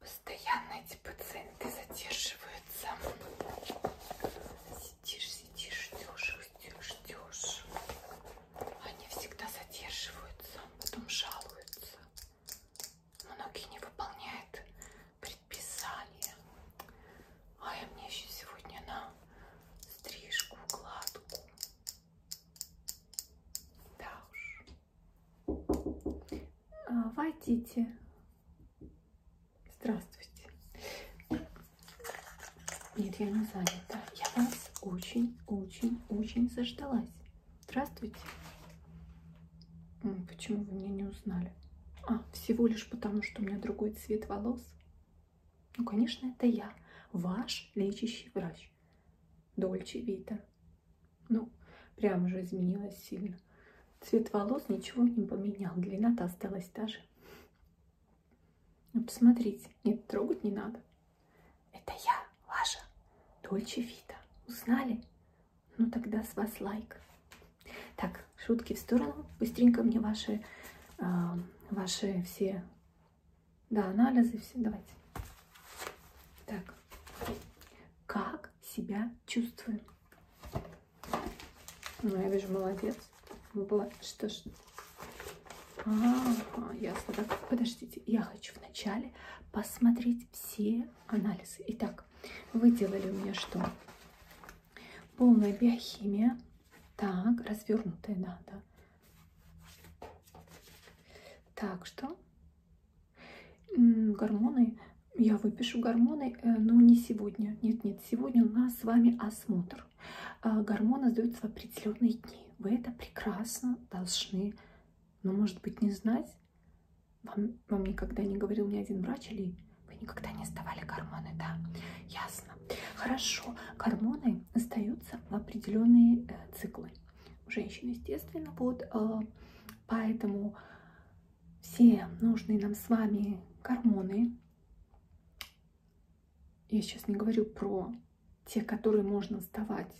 Постоянно эти пациенты задерживаются. Сидишь, сидишь, ждешь, ждешь, ждешь. Они всегда задерживаются, потом жалуются. Многие не выполняют Писание. А я мне еще сегодня на стрижку, гладку. Да уж. А, Войдите. Здравствуйте. Нет, я не занята. Я вас очень-очень-очень заждалась. Здравствуйте. Почему вы меня не узнали? А, всего лишь потому, что у меня другой цвет волос вас. Ну, конечно, это я, ваш лечащий врач. Дольче Вита. Ну, прям же изменилась сильно. Цвет волос ничего не поменял, длина-то осталась та же. Ну, посмотрите, нет, трогать не надо. Это я, ваша Дольче Вита. Узнали? Ну, тогда с вас лайк. Так, шутки в сторону. Быстренько мне ваши, э, ваши все да, анализы, все. Давайте. Так. Как себя чувствуем? Ну, я вижу, молодец. Ну, была... Что ж. А, -а, а, ясно. Так, подождите. Я хочу вначале посмотреть все анализы. Итак, вы делали у меня что? Полная биохимия. Так, развернутая, да, да. Так что гормоны, я выпишу гормоны, э, но не сегодня. Нет, нет, сегодня у нас с вами осмотр. А, гормоны сдаются в определенные дни. Вы это прекрасно должны, но ну, может быть не знать, вам, вам никогда не говорил ни один врач или вы никогда не сдавали гормоны, да? Ясно. Хорошо. Гормоны сдаются в определенные э, циклы. У женщин, естественно, вот э, поэтому все нужные нам с вами гормоны. Я сейчас не говорю про те, которые можно сдавать,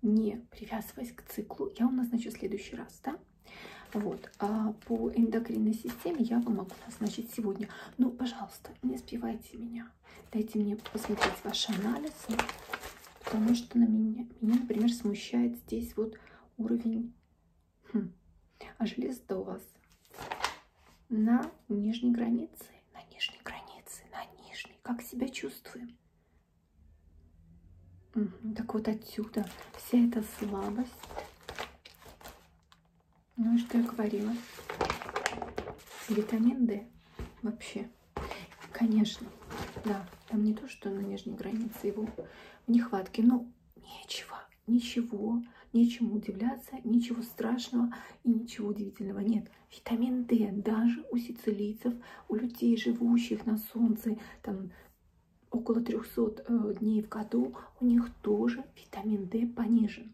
не привязываясь к циклу. Я вам назначу в следующий раз, да? Вот, а по эндокринной системе я вам могу назначить сегодня. Ну, пожалуйста, не сбивайте меня. Дайте мне посмотреть ваши анализы, потому что на меня, меня например, смущает здесь вот уровень. Хм. А железо у вас на нижней границе, на нижней границе, на нижней. Как себя чувствуем? Так вот отсюда вся эта слабость. Ну и что я говорила? Витамин D вообще. Конечно, да, там не то, что на нижней границе его в нехватке, но нечего, ничего, нечему удивляться, ничего страшного и ничего удивительного нет. Витамин D даже у сицилийцев, у людей, живущих на солнце, там около 300 э, дней в году у них тоже витамин D понижен.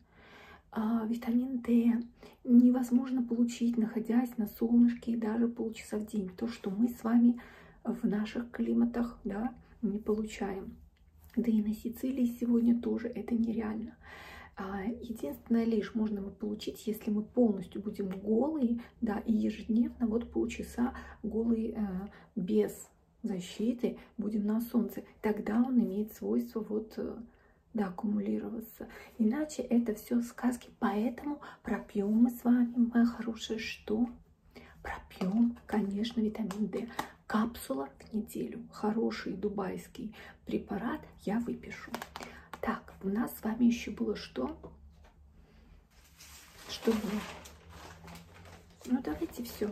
А, витамин D невозможно получить, находясь на солнышке и даже полчаса в день. То, что мы с вами в наших климатах да, не получаем. Да и на Сицилии сегодня тоже это нереально. А, единственное лишь можно мы получить, если мы полностью будем голые да, и ежедневно вот полчаса голый э, без защиты будем на солнце. Тогда он имеет свойство вот э, да, аккумулироваться. Иначе это все сказки. Поэтому пропьем мы с вами, моя хорошая, что? Пропьем, конечно, витамин D. Капсула в неделю. Хороший дубайский препарат я выпишу. Так, у нас с вами еще было что? что было. Ну, давайте все.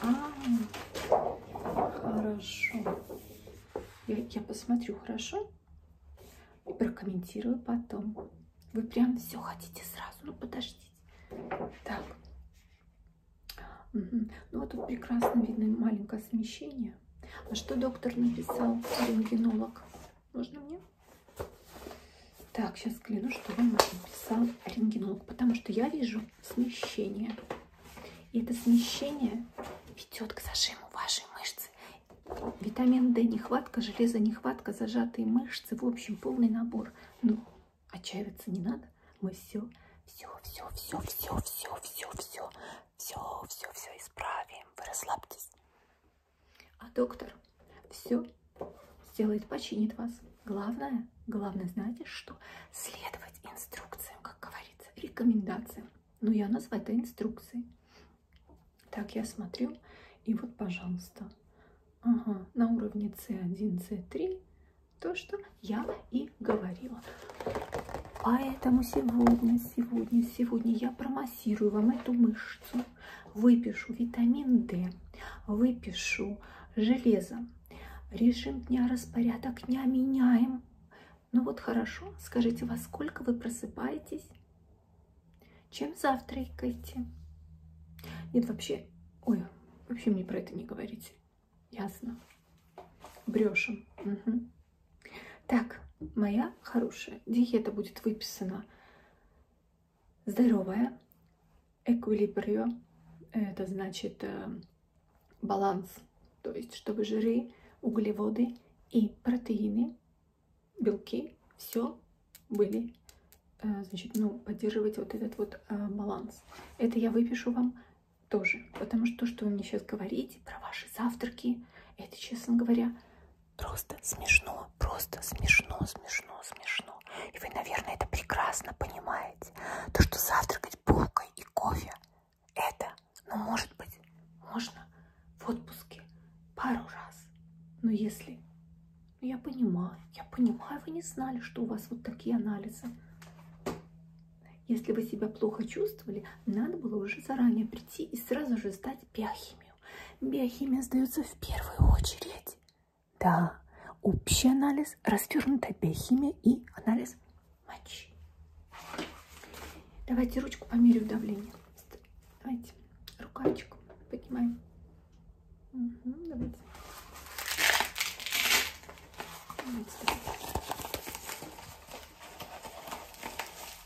А, хорошо. Я, я посмотрю, хорошо? И прокомментирую потом. Вы прям все хотите сразу. Ну, подождите. Так. Угу. Ну, вот тут прекрасно видно маленькое смещение. А что доктор написал, рентгенолог? Можно мне? рентгене. Так, сейчас взгляну, что вам написал рентгенолог, потому что я вижу смещение. И это смещение ведет к зажиму вашей мышцы. Витамин D нехватка, железо нехватка, зажатые мышцы, в общем, полный набор. Ну, отчаиваться не надо. Мы все, все, все, все, все, все, все, все, все, все, все исправим. Вы расслабьтесь. А доктор все сделает, починит вас. Главное, главное, знаете, что следовать инструкциям, как говорится, рекомендациям. Но ну, я назвать это инструкцией. Так, я смотрю, и вот, пожалуйста, ага, на уровне C1, C3 то, что я и говорила. Поэтому а сегодня, сегодня, сегодня я промассирую массирую вам эту мышцу, выпишу витамин D, выпишу железо. Режим дня, распорядок дня меняем. Ну вот хорошо, скажите, во сколько вы просыпаетесь? Чем завтракаете? Нет, вообще, ой, вообще мне про это не говорите. Ясно. Брешем. Угу. Так, моя хорошая диета будет выписана здоровая, эквилибрио, это значит э, баланс, то есть чтобы жиры, углеводы и протеины, белки, все были, э, значит, ну, поддерживать вот этот вот э, баланс. Это я выпишу вам тоже, потому что то, что вы мне сейчас говорите про ваши завтраки, это, честно говоря, просто смешно, просто смешно, смешно, смешно. И вы, наверное, это прекрасно понимаете. То, что завтракать булкой и кофе, это, ну, может быть, можно в отпуске пару раз. Но если... Ну, я понимаю, я понимаю, вы не знали, что у вас вот такие анализы. Если вы себя плохо чувствовали, надо было уже заранее прийти и сразу же сдать биохимию. Биохимия сдается в первую очередь. Да, общий анализ, развернутая биохимия и анализ мочи. Давайте ручку померю давление. Давайте рукавчик поднимаем. Угу, давайте. Давайте, давайте.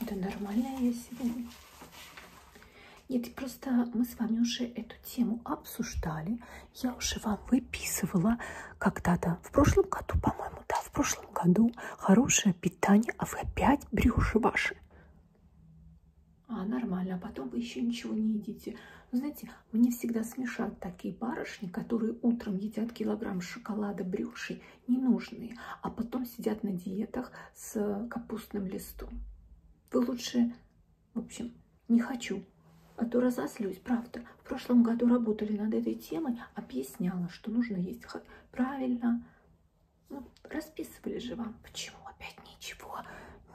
Да нормальная я сегодня. Нет, просто мы с вами уже эту тему обсуждали. Я уже вам выписывала когда-то, в прошлом году, по-моему, да, в прошлом году хорошее питание, а вы опять брюши ваши. А, нормально, а потом вы еще ничего не едите. Но знаете, мне всегда смешат такие барышни, которые утром едят килограмм шоколада брюшей, ненужные, а потом сидят на диетах с капустным листом. Вы лучше, в общем, не хочу, а то разозлюсь, правда. В прошлом году работали над этой темой, объясняла, что нужно есть правильно. Ну, расписывали же вам, почему опять ничего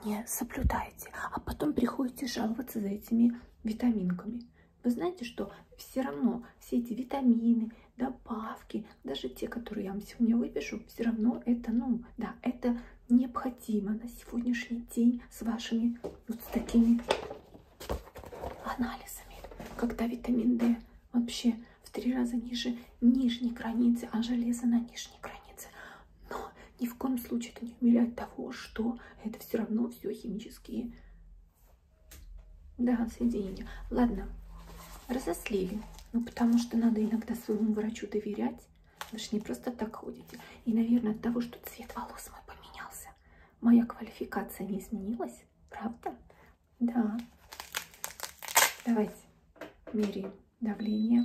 не соблюдаете, а потом приходите жаловаться за этими витаминками. Вы знаете, что все равно все эти витамины, добавки, даже те, которые я вам сегодня выпишу, все равно это, ну, да, это необходимо на сегодняшний день с вашими вот с такими анализами. Когда витамин D вообще в три раза ниже нижней границы, а железо на нижней границе. Но ни в коем случае это не умиляет того, что это все равно все химические да, соединение. Ладно, разослили. Ну, потому что надо иногда своему врачу доверять. Вы же не просто так ходите. И, наверное, от того, что цвет волос мой поменялся, моя квалификация не изменилась. Правда? Да. Давайте меряем давление.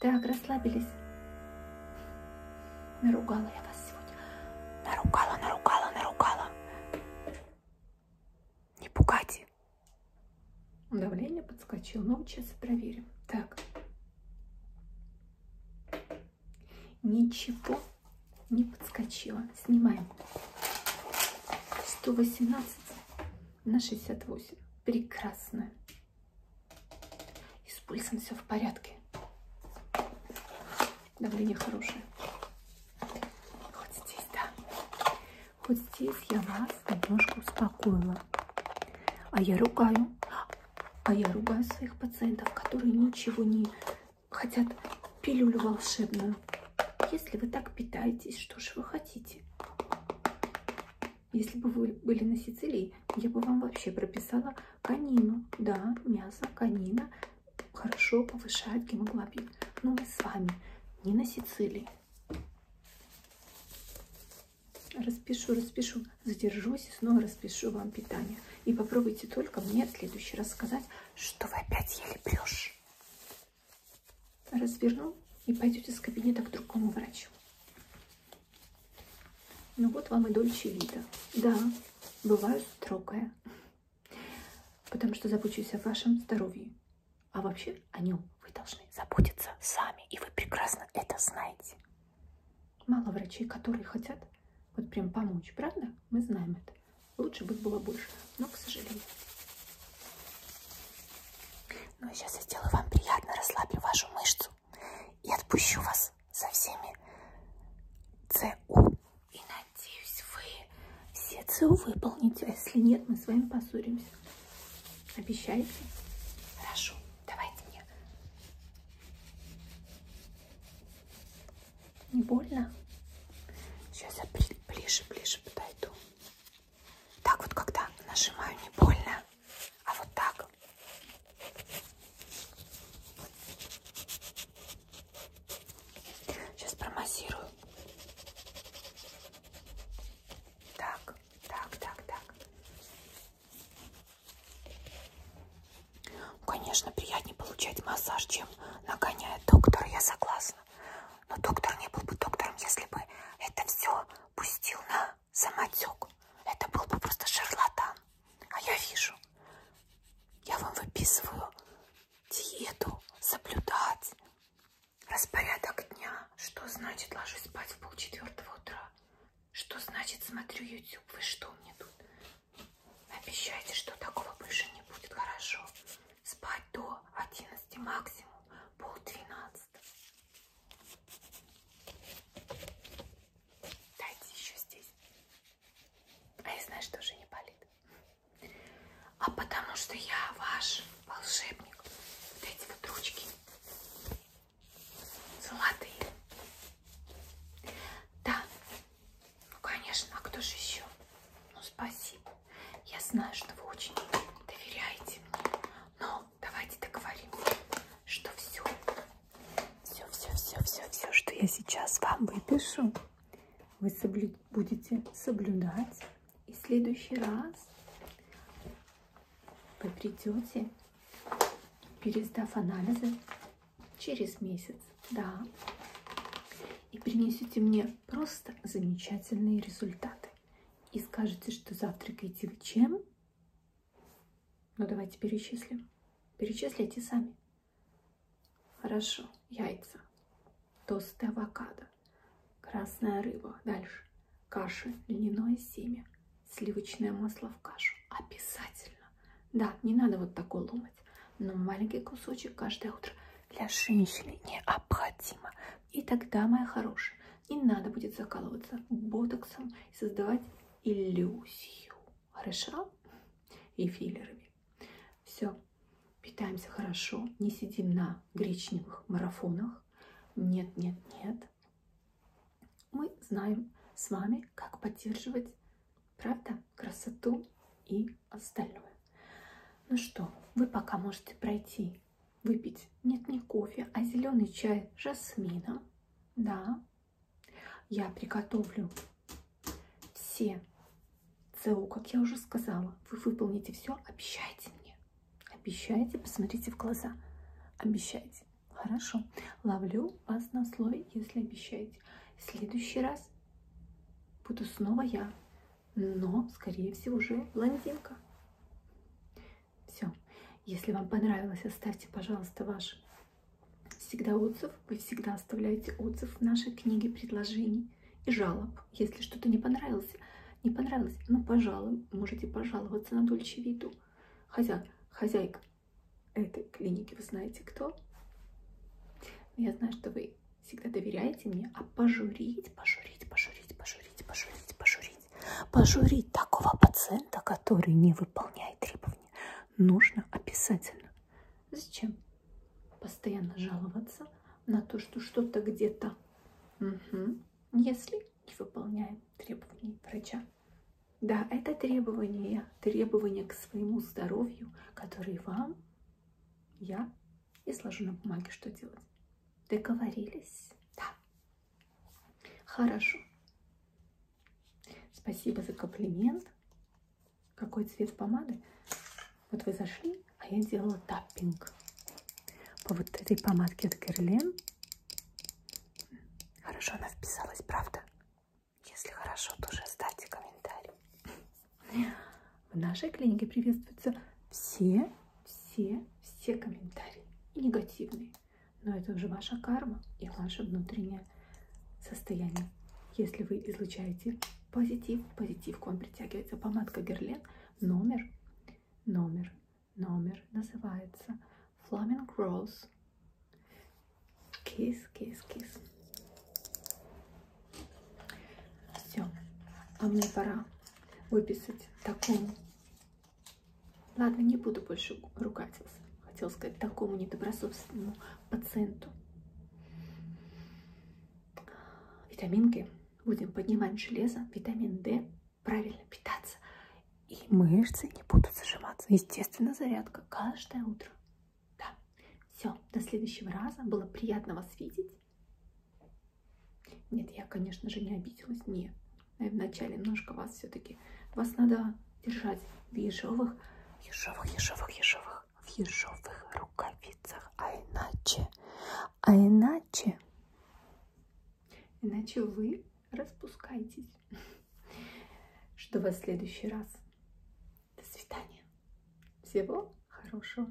Так, расслабились. Наругала я вас сегодня. Наругала, наругала, наругала. Не пугайте. Давление подскочило. Ну, сейчас проверим. Так. Ничего не подскочило. Снимаем. 118 на 68. Прекрасно. И с пульсом все в порядке. Давление хорошее. Вот здесь, да. Вот здесь я вас немножко успокоила. А я ругаю. А я ругаю своих пациентов, которые ничего не хотят пилюлю волшебную. Если вы так питаетесь, что же вы хотите? Если бы вы были на Сицилии, я бы вам вообще прописала конину. Да, мясо, конина хорошо повышает гемоглобин. Но мы с вами не на Сицилии. Распишу, распишу, задержусь и снова распишу вам питание. И попробуйте только мне в следующий раз сказать, что вы опять ели брешь. Разверну и пойдете с кабинета к другому врачу. Ну вот вам и дольче вида. Да, бываю строгая, потому что забочусь о вашем здоровье. А вообще о нем вы должны заботиться сами, и вы прекрасно это знаете. Мало врачей, которые хотят вот прям помочь, правда? Мы знаем это. Лучше бы было больше, но, к сожалению. Ну, сейчас я сделаю вам приятно, расслаблю вашу мышцу сразу и отпущу вас со всеми ЦУ. И надеюсь, вы все ЦУ выполните. А если нет, мы с вами поссоримся. Обещаете? Хорошо. Давайте мне. Не больно? Сейчас я ближе-ближе подойду. Так вот, когда нажимаю, не больно. А вот так. Сейчас промассирую. Так, так, так, так. Конечно, приятнее получать массаж, чем нагоняет доктор, я согласна. Но доктор не был бы доктором, если бы это все пустил на самотек. Это был бы просто шарлатан. А я вижу. Я вам выписываю диету, соблюдать распорядок дня. Что значит ложусь спать в полчетвертого утра? Что значит смотрю YouTube? Вы что мне тут? Обещайте, что такого больше не будет. Хорошо. Спать до 11 максимум, пол 12. Дайте еще здесь. А я знаю, что уже не болит. А потому что я ваш волшебник. Вот эти вот ручки. Золотые. Да. Ну, конечно, а кто же еще? Ну, спасибо. Я знаю, что вы очень доверяете мне. Но но давайте договорим, что все, все, все, все, все, все, что я сейчас вам выпишу, вы соблю... будете соблюдать. И в следующий раз вы придете, пересдав анализы через месяц, да, и принесете мне просто замечательные результаты. И скажете, что завтракаете чем? Ну, давайте перечислим. Перечислите сами. Хорошо. Яйца, тосты авокадо, красная рыба. Дальше. Каши, льняное семя, сливочное масло в кашу. Обязательно. Да, не надо вот такой ломать. Но маленький кусочек каждое утро для женщины необходимо. И тогда, моя хорошая, не надо будет закалываться ботоксом и создавать иллюзию. Хорошо? И филлерами. Все. Питаемся хорошо. Не сидим на гречневых марафонах. Нет, нет, нет. Мы знаем с вами, как поддерживать, правда, красоту и остальное. Ну что, вы пока можете пройти чай выпить. Нет, не кофе, а зеленый чай с жасмином. Да, я приготовлю все ЦУ, как я уже сказала. Вы выполните все, обещайте мне. Обещайте, посмотрите в глаза. Обещайте. Хорошо. Ловлю вас на слове, если обещаете. В следующий раз буду снова я, но, скорее всего, уже блондинка. Все. Если вам понравилось, оставьте, пожалуйста, ваш всегда отзыв. Вы всегда оставляете отзыв в нашей книге предложений и жалоб. Если что-то не понравилось, не понравилось, ну, пожалуй, можете пожаловаться на Дольче Виду. Хозя... Хозяйка этой клиники, вы знаете кто? Я знаю, что вы всегда доверяете мне, а пожурить, пожурить, пожурить, пожурить, пожурить, пожурить очередь пожурить такого пациента, который не выполняет требования, нужно обязательно. Зачем постоянно жаловаться на то, что что-то где-то, угу. если не выполняем требования врача? Да, это требование, требование к своему здоровью, которые вам я изложу на бумаге, что делать. Договорились? Да. Хорошо. Спасибо за комплимент. Какой цвет помады? Вот вы зашли, а я делала таппинг. По вот этой помадке от Герлен. Хорошо она вписалась, правда? Если хорошо, тоже оставьте комментарий. В нашей клинике приветствуются все все, все комментарии, и негативные. Но это уже ваша карма и ваше внутреннее состояние. Если вы излучаете позитив, позитив к вам притягивается. Помадка Герлен, номер, номер, номер называется Flaming Rose. Kiss, kiss, kiss. Все, а мне пора выписать такому. Ладно, не буду больше ругаться. Хотел сказать такому недобросовственному пациенту. Витаминки. Будем поднимать железо, витамин D, правильно питаться. И мышцы не будут зажиматься. Естественно, зарядка каждое утро. Да. Все, до следующего раза. Было приятно вас видеть. Нет, я, конечно же, не обиделась. Нет, я вначале немножко вас все-таки... Вас надо держать в ежовых, ежовых, ежовых, ежовых, в ежовых рукавицах. А иначе, а иначе... Иначе вы распускаетесь. Жду вас в следующий раз. До свидания. Всего хорошего.